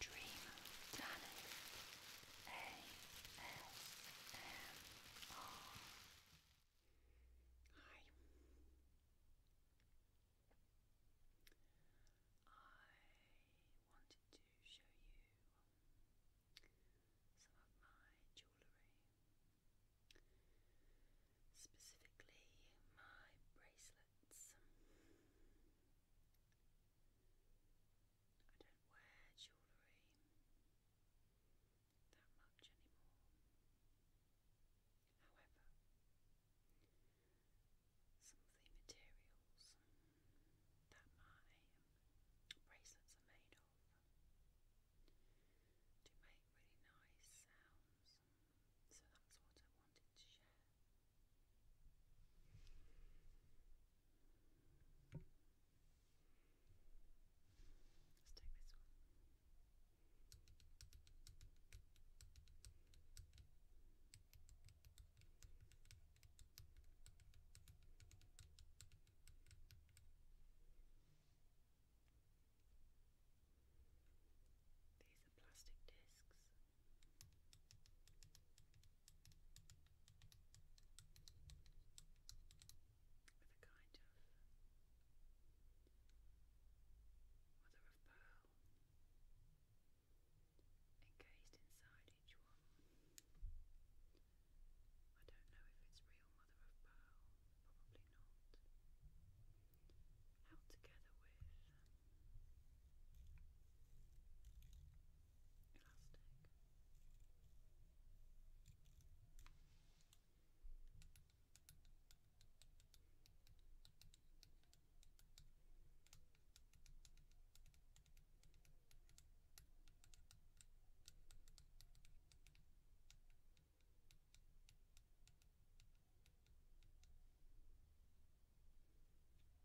Dream Planet ASMR. Hi. I wanted to show you um, some of my jewellery, specifically my bracelets. I don't wear jewellery that much anymore. However, some of the materials that my bracelets are made of do make really nice sounds, so that's what I wanted to share. Let's take this one. These are plastic discs with a kind of mother of pearl encased inside each one. I don't know if it's real mother of pearl, probably not. Out together with Plastic.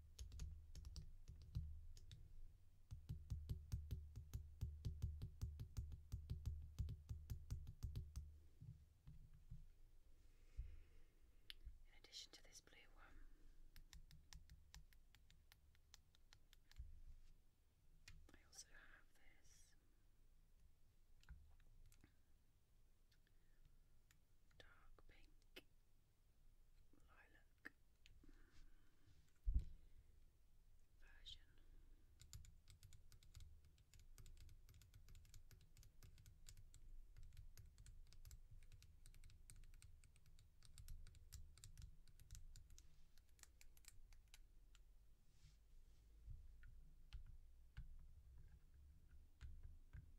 In addition to this blue one, I also have this dark pink lilac version.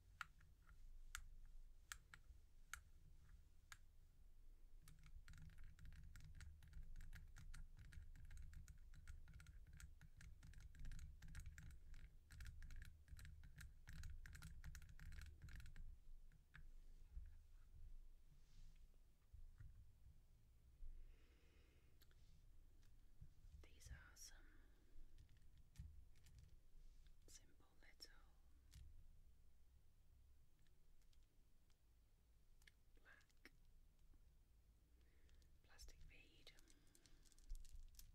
These are some some simple little black plastic bead bracelets.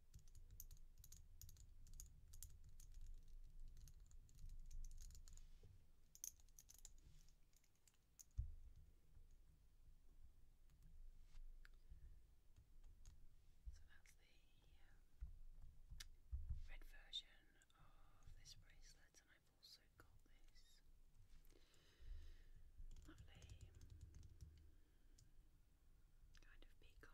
So that's the um, red version of this bracelet, and I've also got this lovely um, kind of peacock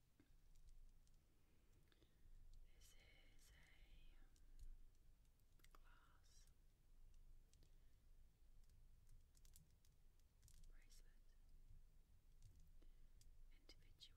This is a glass bracelet, individual glass beads.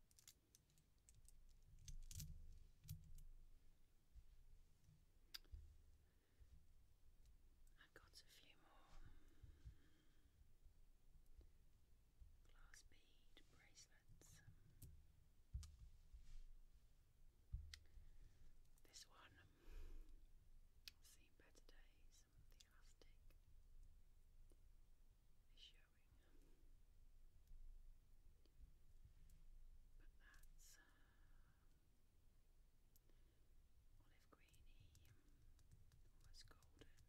I've got a few more glass bead bracelets. This one, seen better days some of the elastic is showing. But that's olive greeny, almost golden, glass colour. It's really beautiful.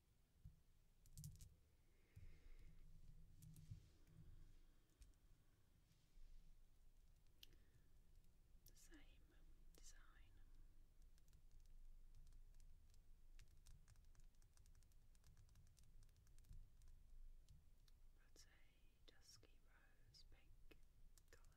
The same design. That's dusky rose pink colour.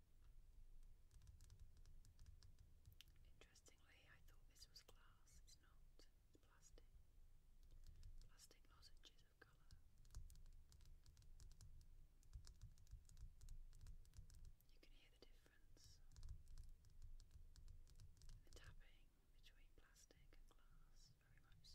Interestingly, I thought this was glass. It's not. It's plastic. Plastic lozenges of colour. You can hear the difference in the tapping between plastic and glass, very much so.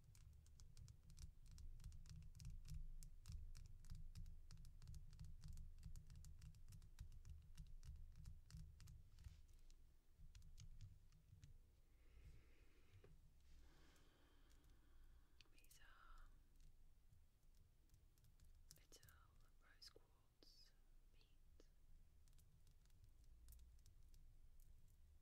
These are little rose quartz beads.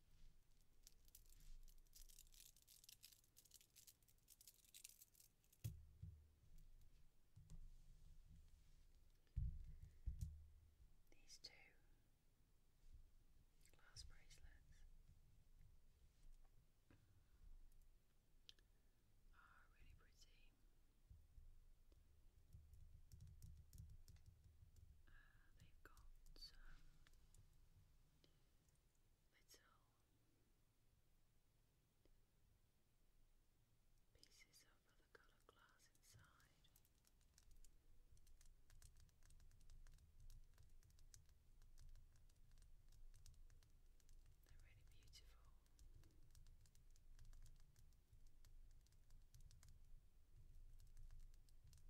These two glass bracelets are really pretty. Uh, they've got um, little pieces of other coloured glass inside. They're really beautiful. This is a similar green version.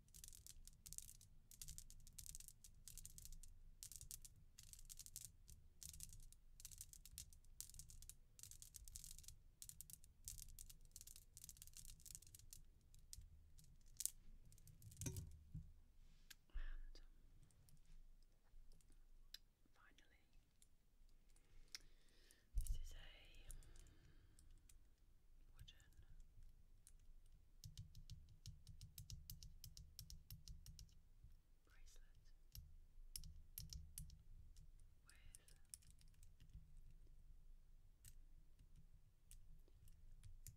And finally, this is a wooden bracelet with it looks like mother of pearl. I don't know if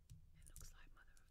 it's real or not.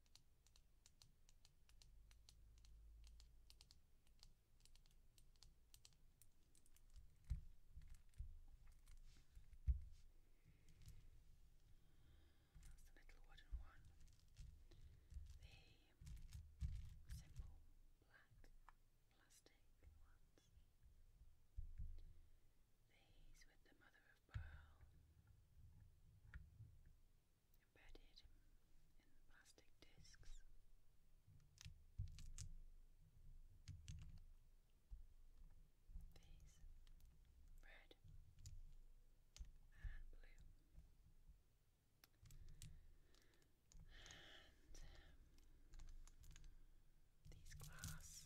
That's the little wooden one. The simple black plastic ones. These with the mother of pearl embedded in plastic discs. These red and blue. And um, these glass